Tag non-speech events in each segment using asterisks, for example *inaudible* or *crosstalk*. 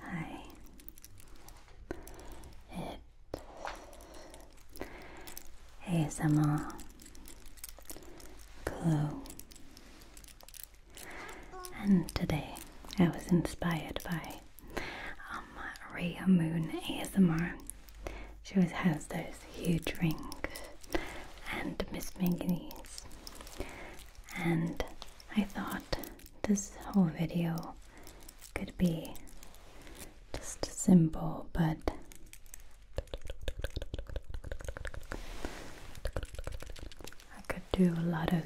Hi. It's ASMR Glow. And today I was inspired by um, Moon ASMR. She always has those huge rings and Miss Manganese. And I thought this whole video could be just simple, but I could do a lot of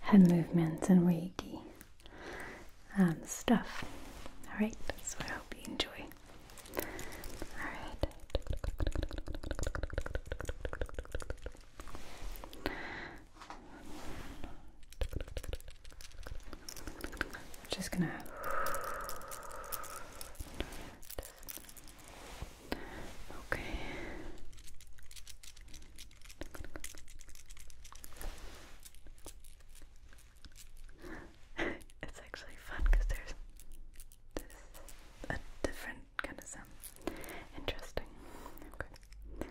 head movements and Reiki um, stuff. Alright, so I hope you enjoy. All right. I'm just gonna okay. *laughs* it's actually fun because there's this a different kind of sound. Interesting. Okay.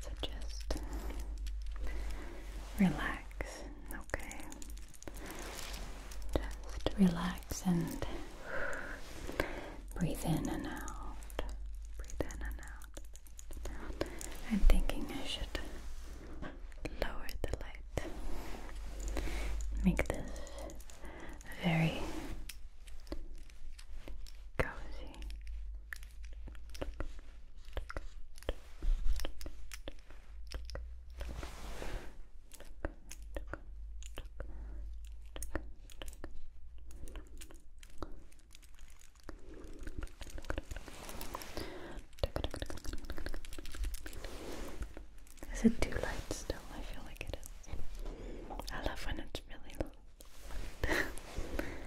So just relax, okay. Just relax and breathe in and out. Breathe in and out. I'm thinking I should lower the light. Make this very cozy. Is it too light still? I feel like it is. I love when it's really light. *laughs*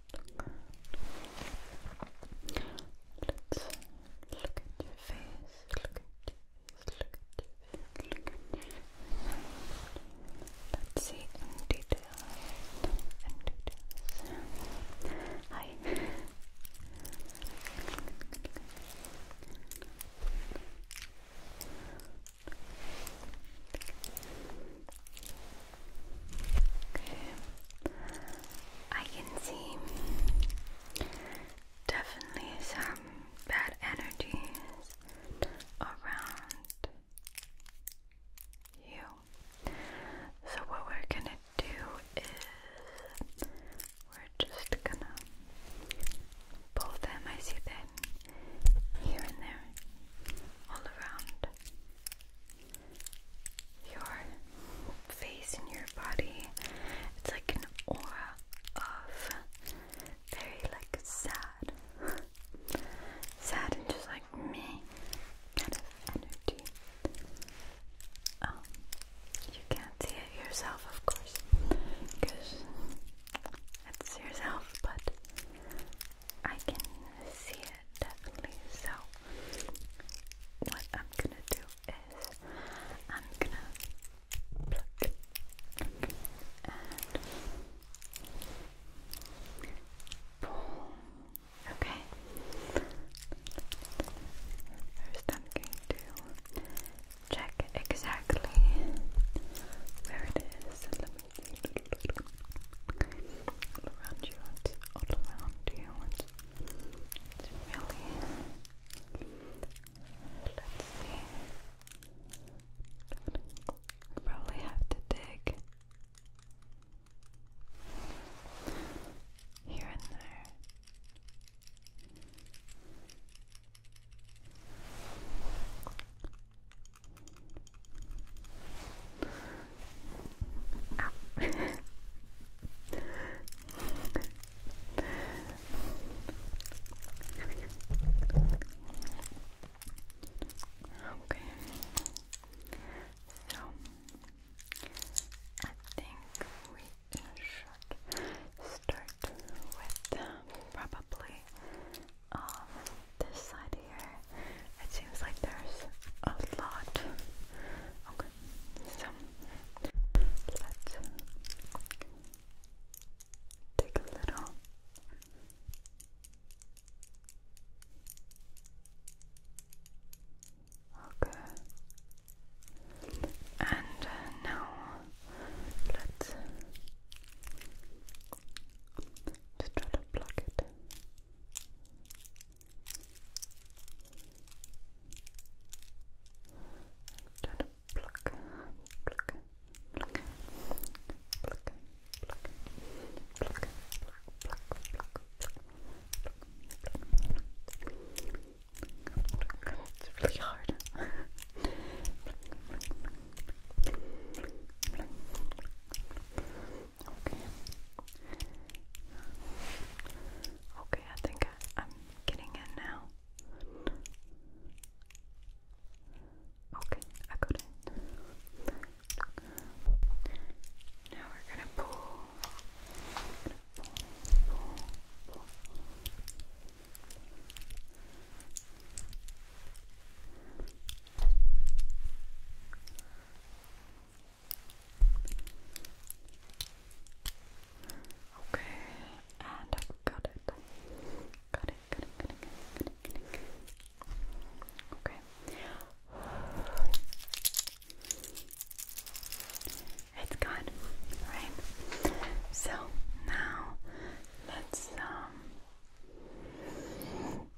at your look at your face, look at your face, look at your face. Let's see in detail, in details. Hi. I can see definitely some bad energies around you. So what we're gonna do is we're just gonna pull them. I see them here and there, all around your face and your body. It's like an aura of very like sad, sad and just like me kind of energy. Um, you can't see it yourself, of course, because it's yourself, but I can see it definitely. So what I'm gonna do is I'm gonna pluck, and pull. Okay. First I'm going to check exactly where it is all around you, it's all around you, it's, really, let's see, we probably have to dig here and there okay. So I think we should start with um, probably um, this side here, it seems like there's a lot. Okay, so let's take a little. Okay. And uh, now let's just try to block it. Try to pluck, pluck, pluck, pluck, pluck, pluck, pluck, pluck, pluck, pluck. It's really hard. pluck, pluck, pluck, Okay. Okay, I think I, am getting in now. Okay, I got it. Now we're gonna pull. Okay, and I got Got it, got it, Okay. It's gone, right? So now let's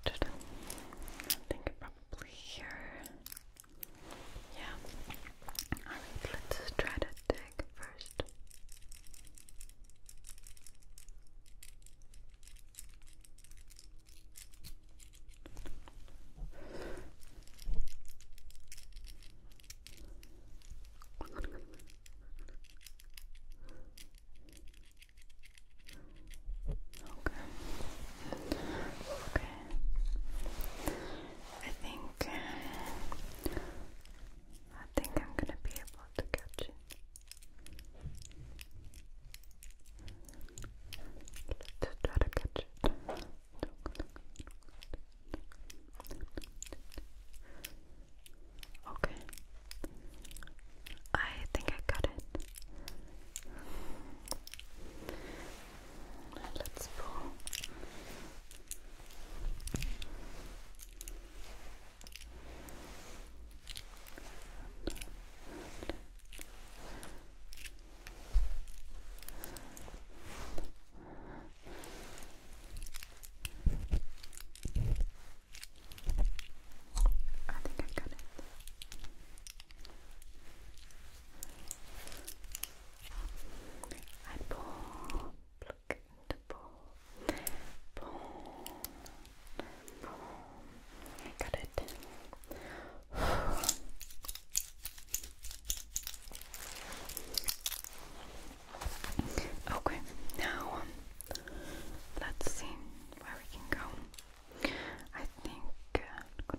just, I think probably here. Yeah. let's try to dig first. Okay. Okay. I think uh, I think I'm gonna be able to catch it. Let's try to catch it. Okay. I think I got it. Let's pull. I think I got it. I pull, pluck pull, pull, pull. got it. Okay, now um, let's see where we can go. I think. Uh,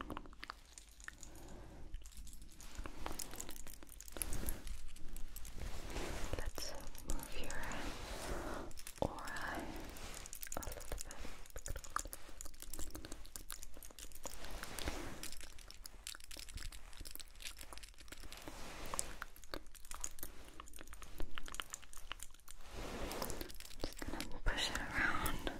let's move your aura a little bit. Just gonna push it around. Okay.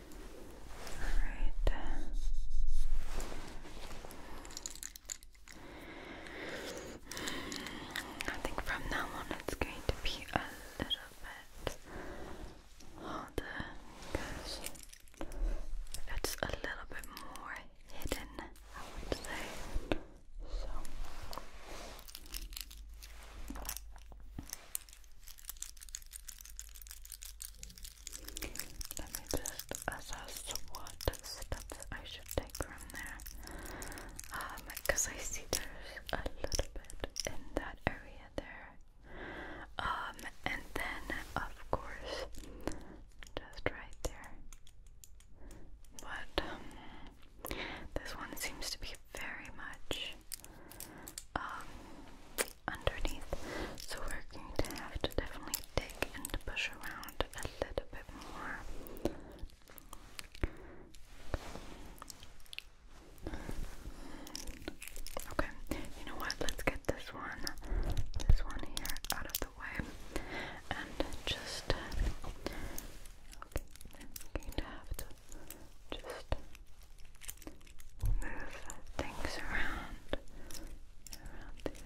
Alright. I think from now on it's going to be a little bit harder because it's a little bit more hidden, I would say. So. Let me just assess what steps I should take from there. because um, I see there's a little bit in that area there. Um, and then of course just right there. But um, this one seems to be very much underneath. So we're going to have to definitely dig and push around a little bit more. Okay, you know what? Let's get this one, this one here out of the way. And just, going to have to just move things around around you.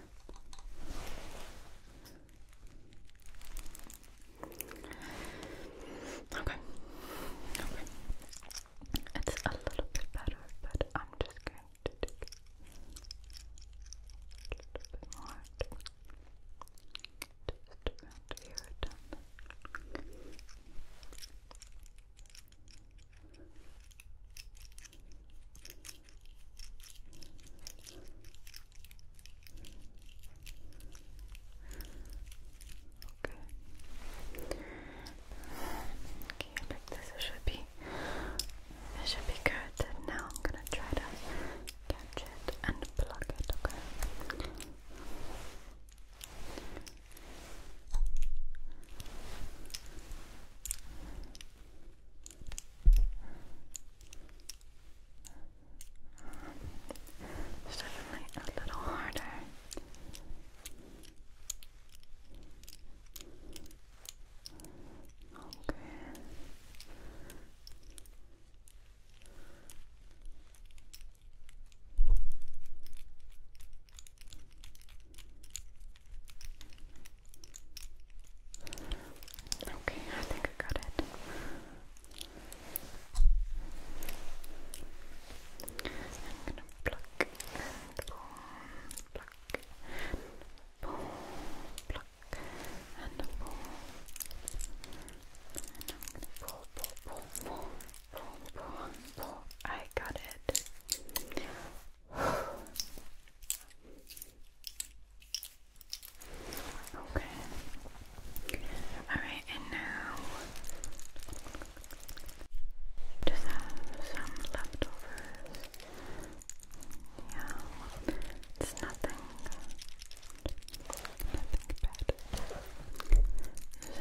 Okay. Okay. It's a little bit better, but I'm just going to take a bit more. Just around here Okay. Okay, like this should be it should be good. now I'm gonna try to catch it and plug it, Okay. It's definitely a little harder. Okay. Okay. Okay, I think I got it. I'm gonna pluck and pull, pluck and pull, pluck and pull. And I'm gonna pull, pull, I got it. Okay. Alright, and now just have some leftovers. Yeah, it's nothing. Nothing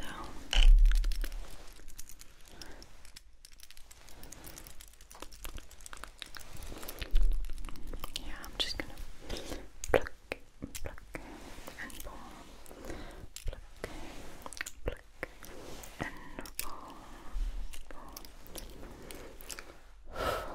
bad. So yeah, i just gonna pluck, pluck, and pull. Pluck, pluck, and pull. pull. Pluck,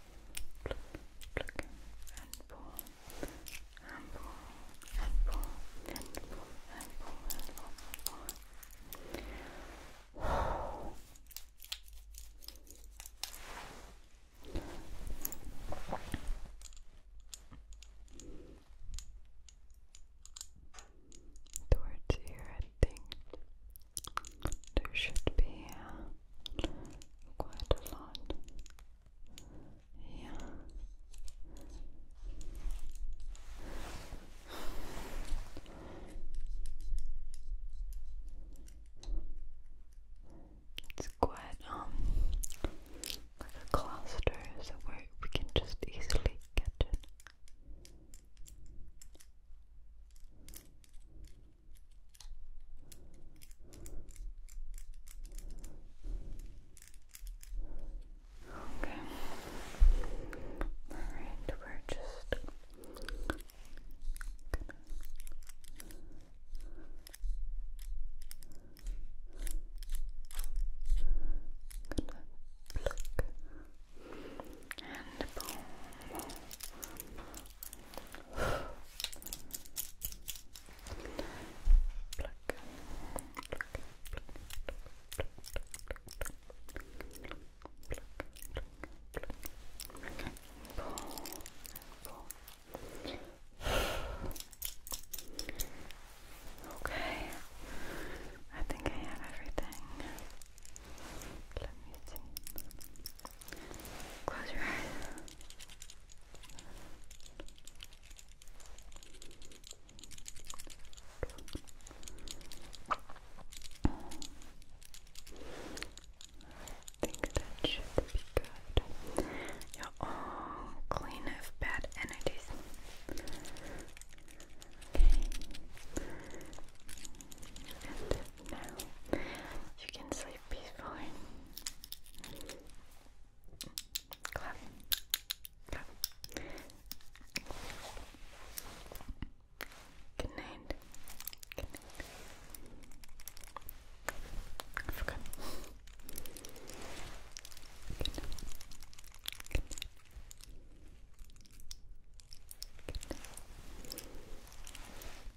pluck, pluck, Towards here, I think there should be. Uh, quite a lot. Yeah. It's quite um like a cluster, so where we can just easily get it. Okay. All right, we're just and Pluck. Pluck. Okay, I think I have everything. Let me see. Close your eyes. I think that should be good. You're all clean of bad energies. Okay now you can sleep peacefully. Good night. Good night. Good night. Good night.